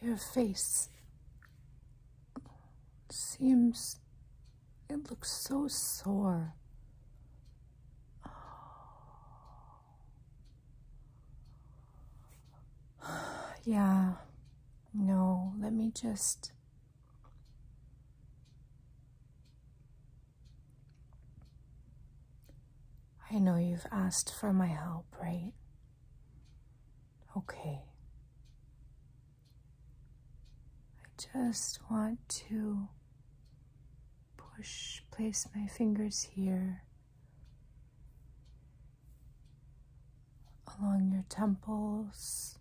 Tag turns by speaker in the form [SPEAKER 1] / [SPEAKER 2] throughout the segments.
[SPEAKER 1] Your face seems, it looks so sore. yeah, no, let me just. I know you've asked for my help, right? Okay. I just want to push, place my fingers here along your temples,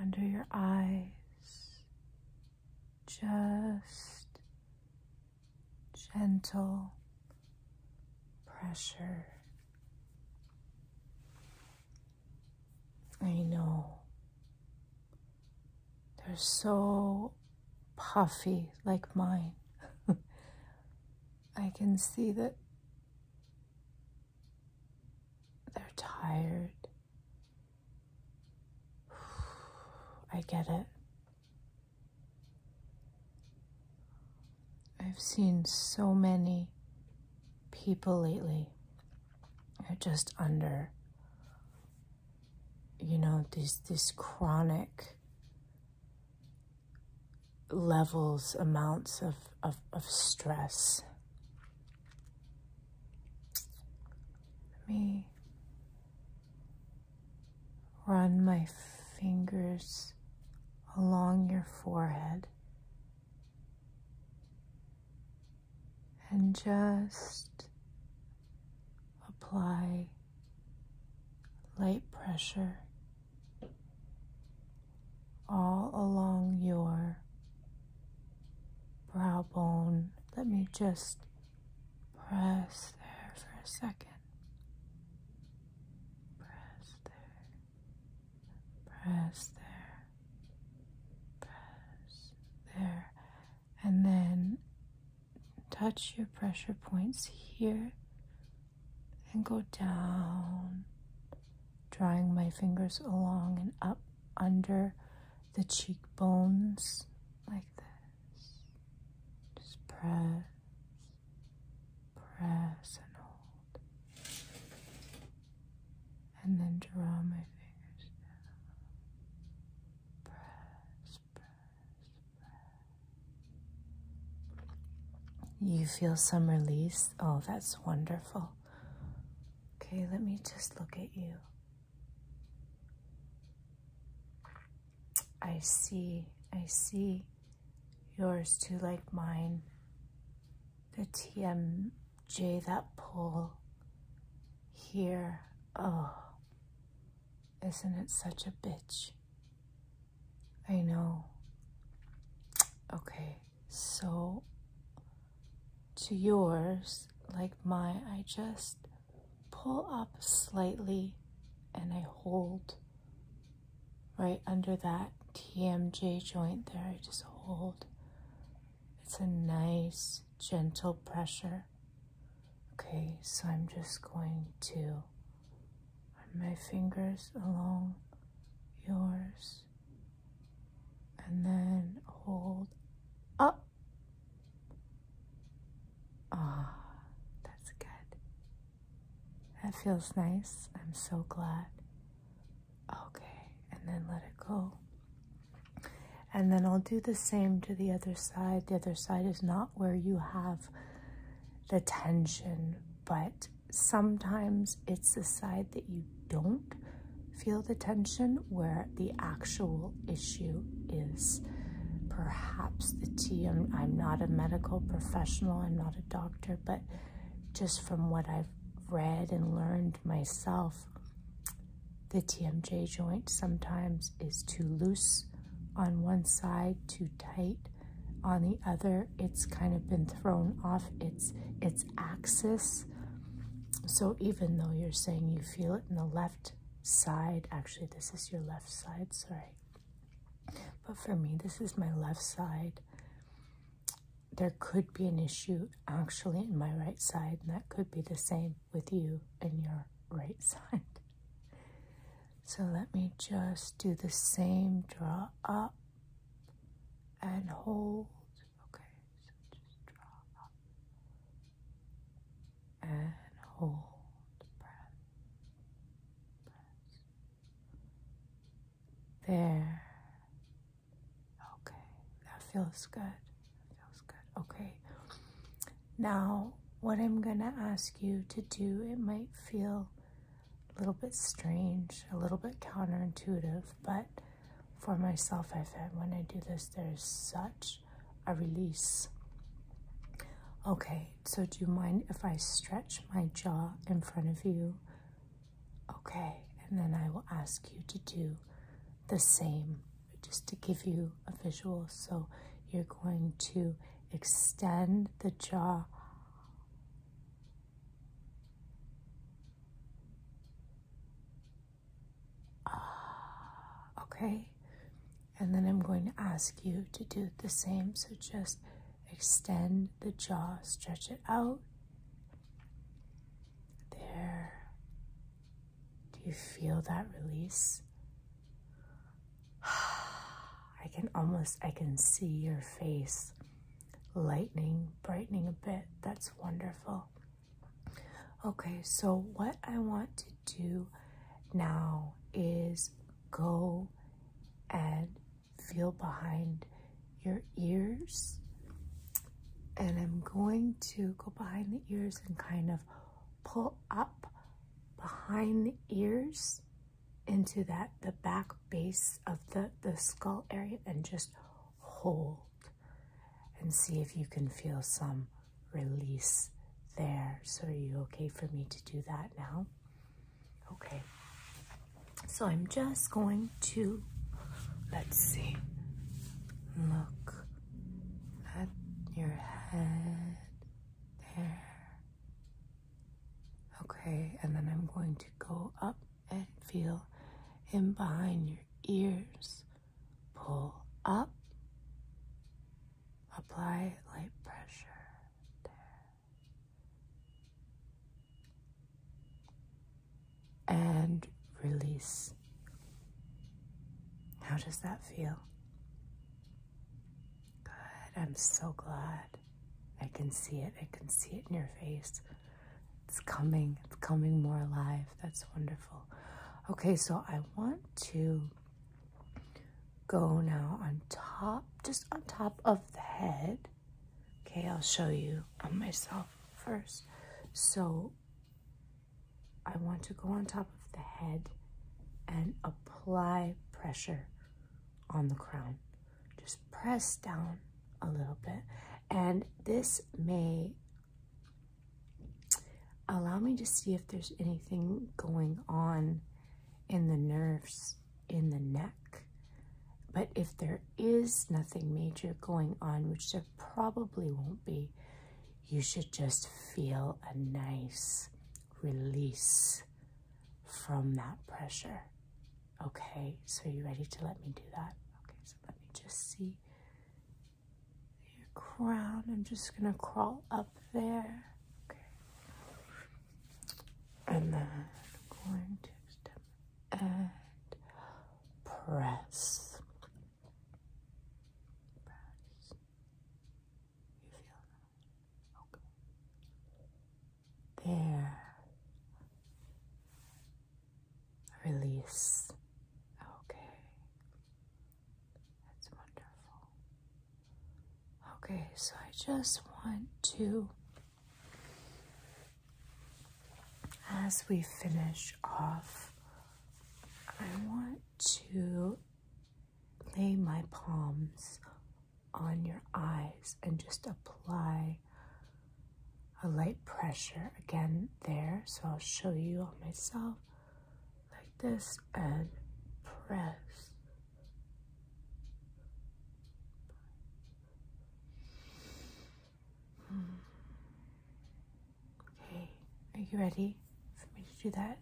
[SPEAKER 1] under your eyes, just gentle pressure. I know they're so puffy like mine. I can see that they're tired. I get it. I've seen so many people lately are just under you know these these chronic levels amounts of, of, of stress. Let me Run my fingers along your forehead and just apply light pressure all along your brow bone. Let me just Press there for a second. Press there. Press there. Press there. And then touch your pressure points here and go down, drawing my fingers along and up under the cheekbones like this. Just press, press, and hold. And then draw my fingers down. Press, press, press. You feel some release? Oh, that's wonderful. Okay, let me just look at you. I see, I see. Yours too, like mine. The TMJ, that pull here. Oh, isn't it such a bitch? I know. Okay so to yours like mine i just pull up slightly and i hold right under that tmj joint there i just hold it's a nice gentle pressure okay so i'm just going to run my fingers along yours and then hold up. Ah, that's good. That feels nice. I'm so glad. Okay, and then let it go. And then I'll do the same to the other side. The other side is not where you have the tension, but sometimes it's the side that you don't feel the tension where the actual issue is. Perhaps the tea, i I'm not a medical professional, I'm not a doctor, but just from what I've read and learned myself, the TMJ joint sometimes is too loose on one side, too tight on the other. It's kind of been thrown off its, its axis. So even though you're saying you feel it in the left side, actually this is your left side, sorry. But for me, this is my left side. There could be an issue actually in my right side, and that could be the same with you in your right side. So let me just do the same draw up and hold. Okay, so just draw and hold. Breath. There. Okay, that feels good. feels good. Okay. Now, what I'm going to ask you to do, it might feel a little bit strange, a little bit counterintuitive, but for myself, I have find when I do this, there's such a release. Okay, so do you mind if I stretch my jaw in front of you? Okay, and then I will ask you to do the same just to give you a visual. So you're going to extend the jaw Ah, okay. And then I'm going to ask you to do the same. So just extend the jaw, stretch it out. There. Do you feel that release? I can almost I can see your face lightening, brightening a bit. That's wonderful. Okay, so what I want to do now is go and feel behind your ears. And I'm going to go behind the ears and kind of pull up behind the ears into that the back base of the the skull area and just hold and see if you can feel some release there so are you okay for me to do that now okay so i'm just going to let's see look at your head there Okay, and then I'm going to go up and feel in behind your ears. Pull up. Apply light pressure. There. And release. How does that feel? Good. I'm so glad. I can see it. I can see it in your face. It's coming. It's coming more alive. That's wonderful. Okay, so I want to go now on top, just on top of the head. Okay, I'll show you on myself first. So I want to go on top of the head and apply pressure on the crown. Just press down a little bit. And this may allow me to see if there's anything going on in the nerves in the neck. But if there is nothing major going on, which there probably won't be, you should just feel a nice release from that pressure. Okay, so you ready to let me do that? Okay, so let me just see your crown. I'm just gonna crawl up there. Okay. And then I'm going to step and press. There. Release. Okay. That's wonderful. Okay, so I just want to, as we finish off, I want to lay my palms on your eyes and just apply a light pressure again there. So I'll show you on myself like this and press. Hmm. Okay, are you ready for me to do that?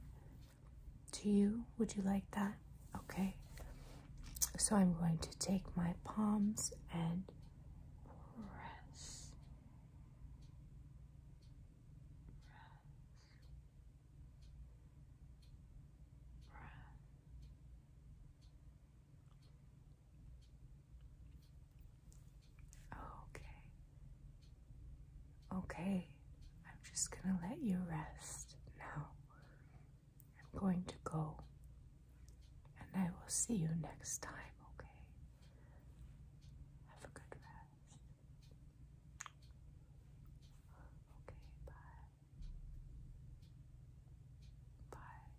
[SPEAKER 1] To you? Would you like that? Okay. So I'm going to take my palms and press. press. Okay. Okay, I'm just gonna let you rest now. I'm going to go and I will see you next time, okay? Have a good rest. Okay, bye. Bye.